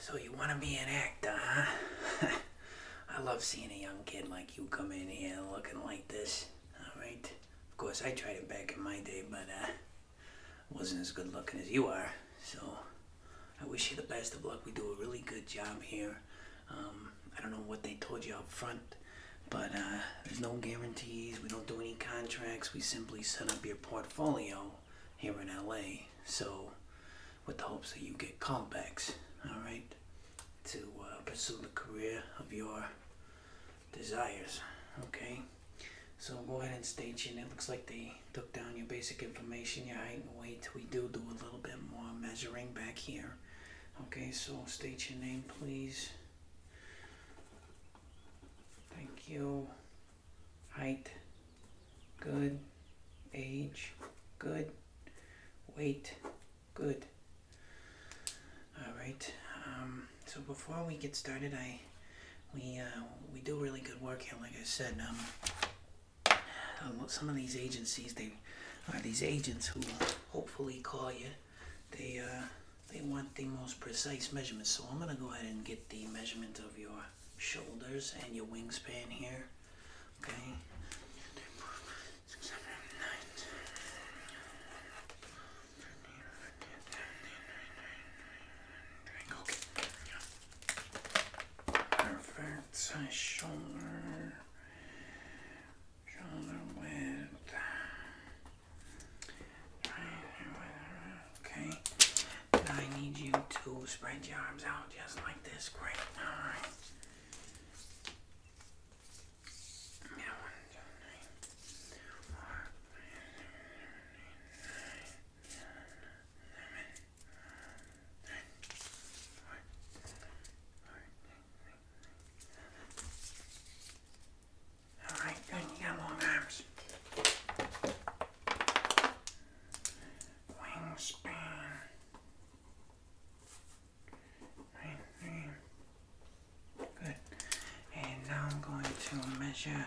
So you want to be an actor, huh? I love seeing a young kid like you come in here looking like this, alright? Of course, I tried it back in my day, but uh, wasn't as good looking as you are. So I wish you the best of luck. We do a really good job here. Um, I don't know what they told you up front, but uh, there's no guarantees. We don't do any contracts. We simply set up your portfolio here in LA. So, with the hopes that you get callbacks, all right, to uh, pursue the career of your desires, okay? So go ahead and state your. name. It looks like they took down your basic information, your height and weight. We do do a little bit more measuring back here. Okay, so state your name, please. Thank you height, good, age, good, weight, good. All right. Um, so before we get started, I we uh, we do really good work here, like I said. Um, um, some of these agencies, they are these agents who hopefully call you. They uh, they want the most precise measurements. So I'm going to go ahead and get the measurement of your shoulders and your wingspan here. Okay. Perfect. Shoulder, shoulder width. Okay. I need you to spread your arms out just like this. Great. All right. All right, good. You got long arms. Wingspan. Right there. Good. And now I'm going to measure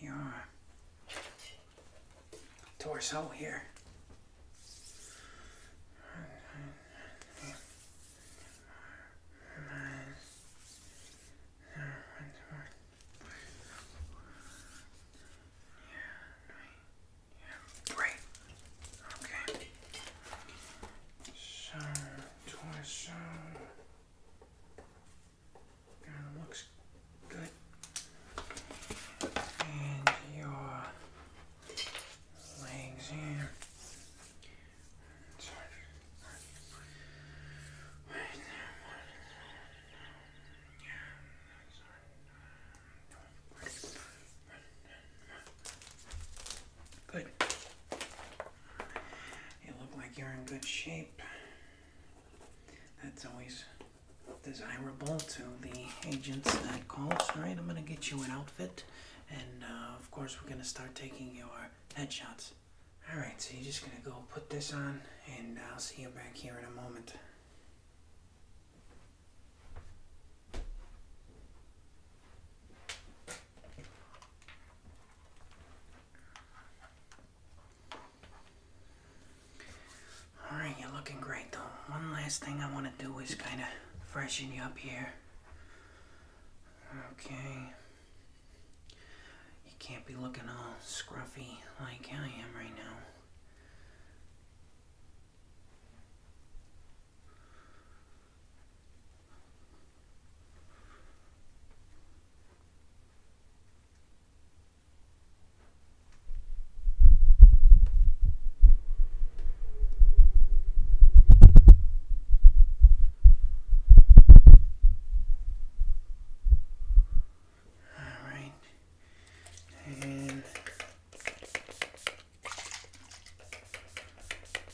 your torso here. Yeah, right. Okay. So, torso. looks good. And your legs here. Good. You look like you're in good shape. That's always desirable to the agents that calls. All right, I'm going to get you an outfit. And uh, of course, we're going to start taking your headshots. Alright, so you're just going to go put this on, and I'll see you back here in a moment. Alright, you're looking great though. One last thing I want to do is kind of freshen you up here. Okay. You can't be looking all scruffy like I am right now. Alright. And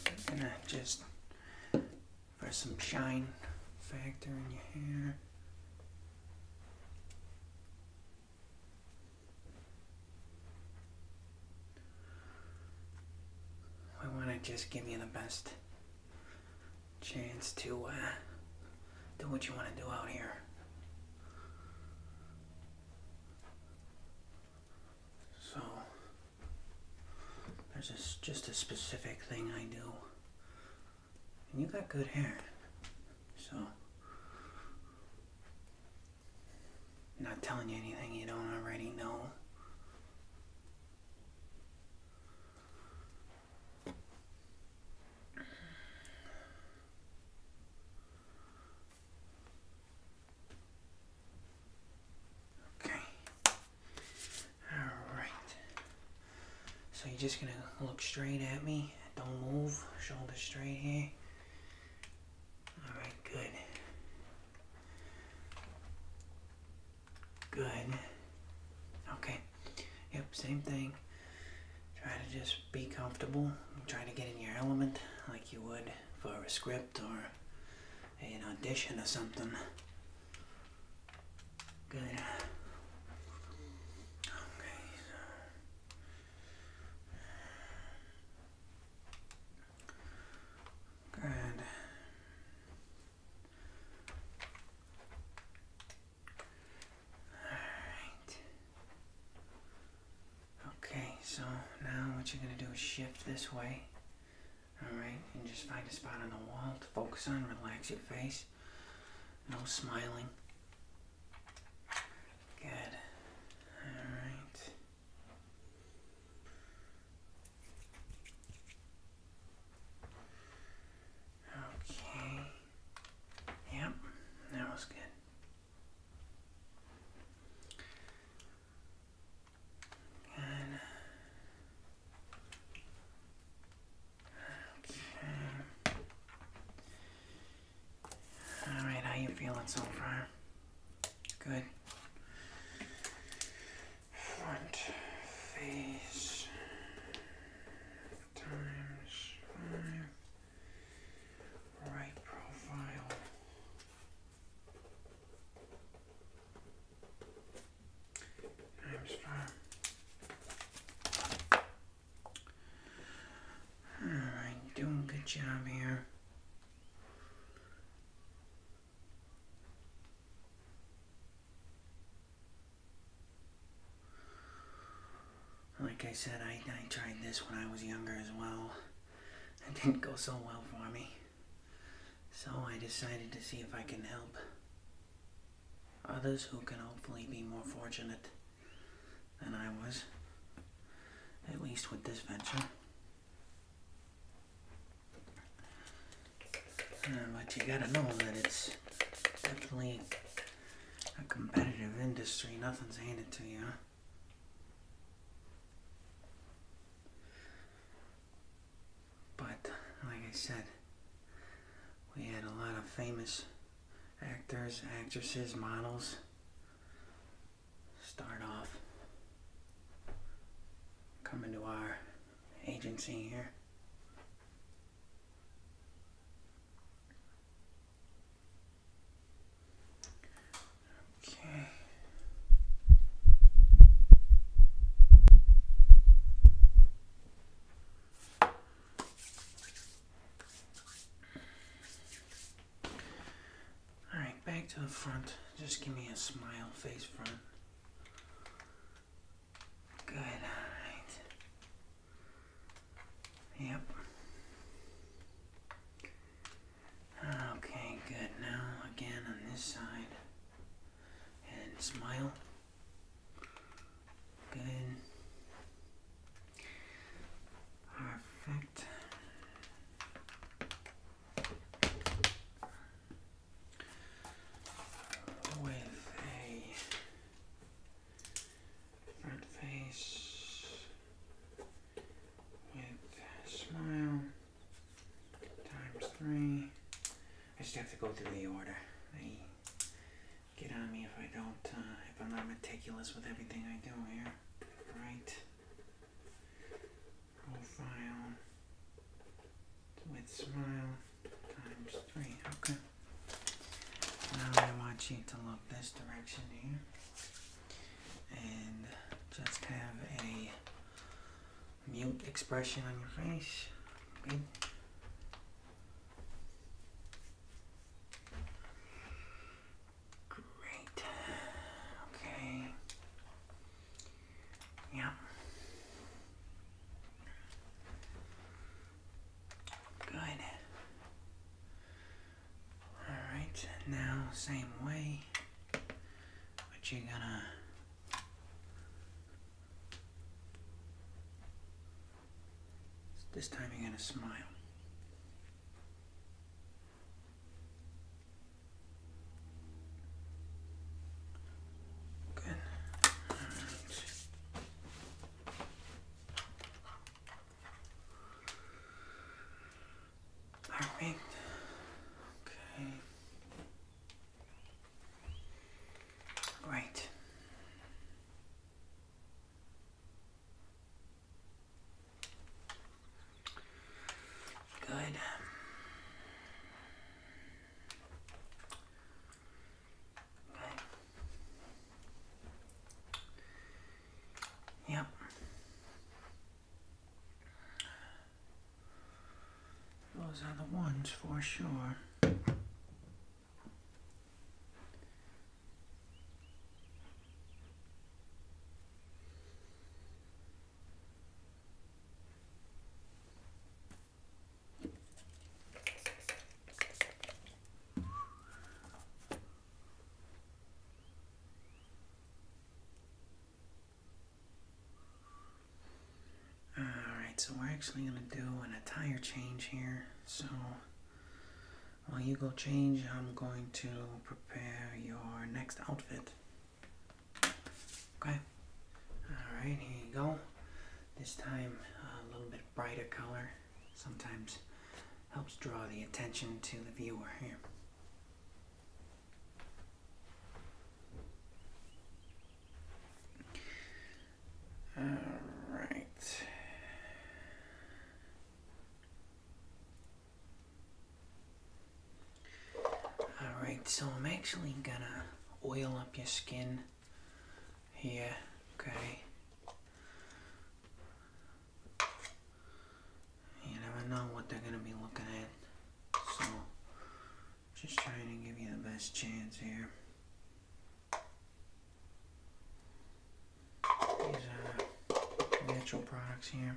I'm gonna just for some shine factor in your hair. I want to just give you the best chance to uh, do what you want to do out here. So, there's just a specific thing I do. And you got good hair. So, I'm not telling you anything you don't already know. Okay. Alright. So you're just gonna look straight at me. Don't move. Shoulder straight here. All right, good. Good. Okay. Yep, same thing. Try to just be comfortable. Try to get in your element like you would for a script or an audition or something. Good. Okay, Good. Alright. Okay, so now what you're going to do is shift this way. Alright, and just find a spot on the wall to focus on. Relax your face. No smiling. Good. Alright. Okay. Yep, that was good. Good. Okay. All right, how you feeling so far? Good. Front face times five. Right profile. Times five. All right, doing good job here. Like I said, I, tried this when I was younger as well. It didn't go so well for me. So I decided to see if I can help others who can hopefully be more fortunate than I was, at least with this venture. Uh, but you gotta know that it's definitely a competitive industry. Nothing's handed to you. But, like I said, we had a lot of famous actors, actresses, models, start off coming to our agency here. Okay. Alright, back to the front. Just give me a smile, face front. Good, Yep. Okay, good. Now, again on this side. And smile. Good. Perfect. With a front face, with a smile, times three. I just have to go through the order get on me if I don't, uh, if I'm not meticulous with everything I do here. Right. Profile. With smile. Times three. Okay. Now I want you to look this direction here. And just have a mute expression on your face. Great. Okay. Yeah. Good. Alright, now same way. But you're gonna this time you're going to smile. Good. Right. Perfect. Okay. Right. Good. Okay. Yep. Those are the ones for sure so we're actually going to do an entire change here. So while you go change, I'm going to prepare your next outfit. Okay? Alright, here you go. This time, a little bit brighter color. Sometimes helps draw the attention to the viewer here. All right. All right, so I'm actually gonna oil up your skin here, okay? You never know what they're gonna be looking at, so just trying to give you the best chance here. These are uh, natural products here.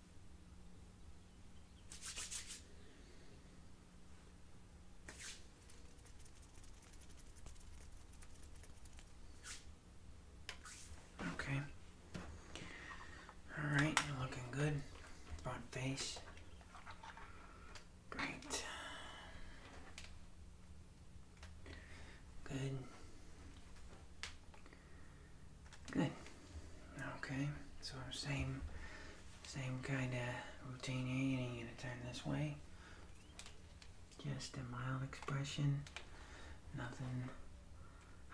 Okay. All right, you're looking good. Front face. Great. Good. Good. Okay, so same, same kind of routine here. You're gonna turn this way. Just a mild expression. Nothing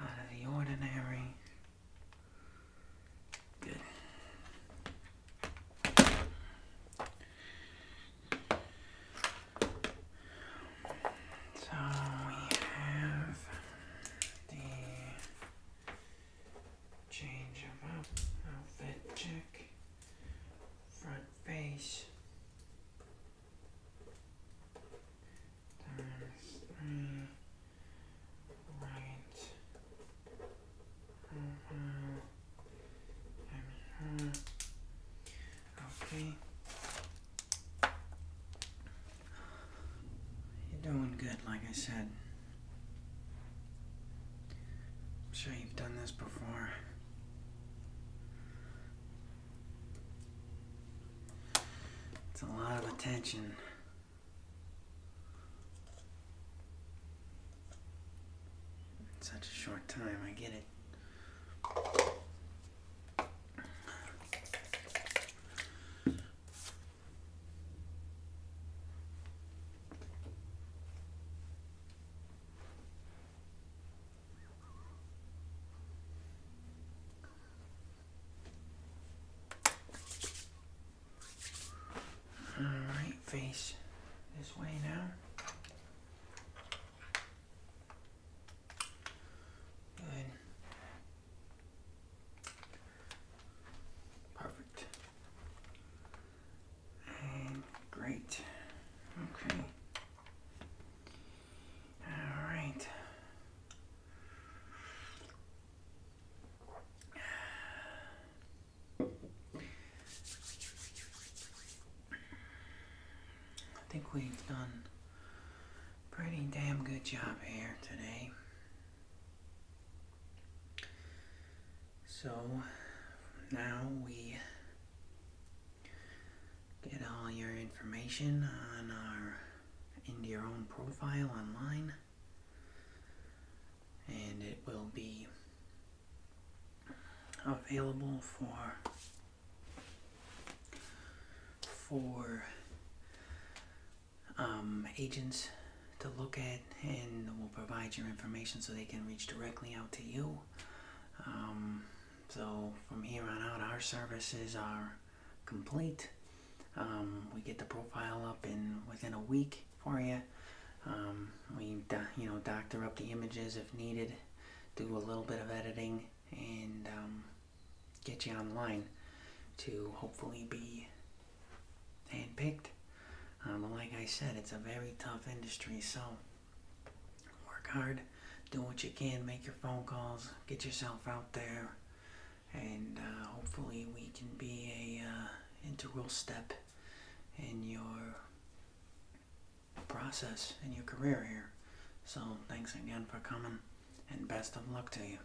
out of the ordinary. Good. So we have the change of up, outfit check, front face, times three, right, profile, uh-huh. and her. Okay, you're doing good, like I said. I'm sure you've done this before. It's a lot of attention. In such a short time, I get it. Alright, face this way now. Perfect. great. Okay. All right. I think we've done a pretty damn good job here today. So now we get all your information on our into your own profile online and it will be available for for um, agents to look at and we'll provide your information so they can reach directly out to you. Um, so from here on out, our services are complete. Um, we get the profile up in within a week for you. we you know doctor up the images if needed, do a little bit of editing, and um, get you online to hopefully be handpicked. but um, like I said, it's a very tough industry, so work hard, do what you can, make your phone calls, get yourself out there, and uh, hopefully we can be a uh, integral step in your process in your career here. So thanks again for coming and best of luck to you.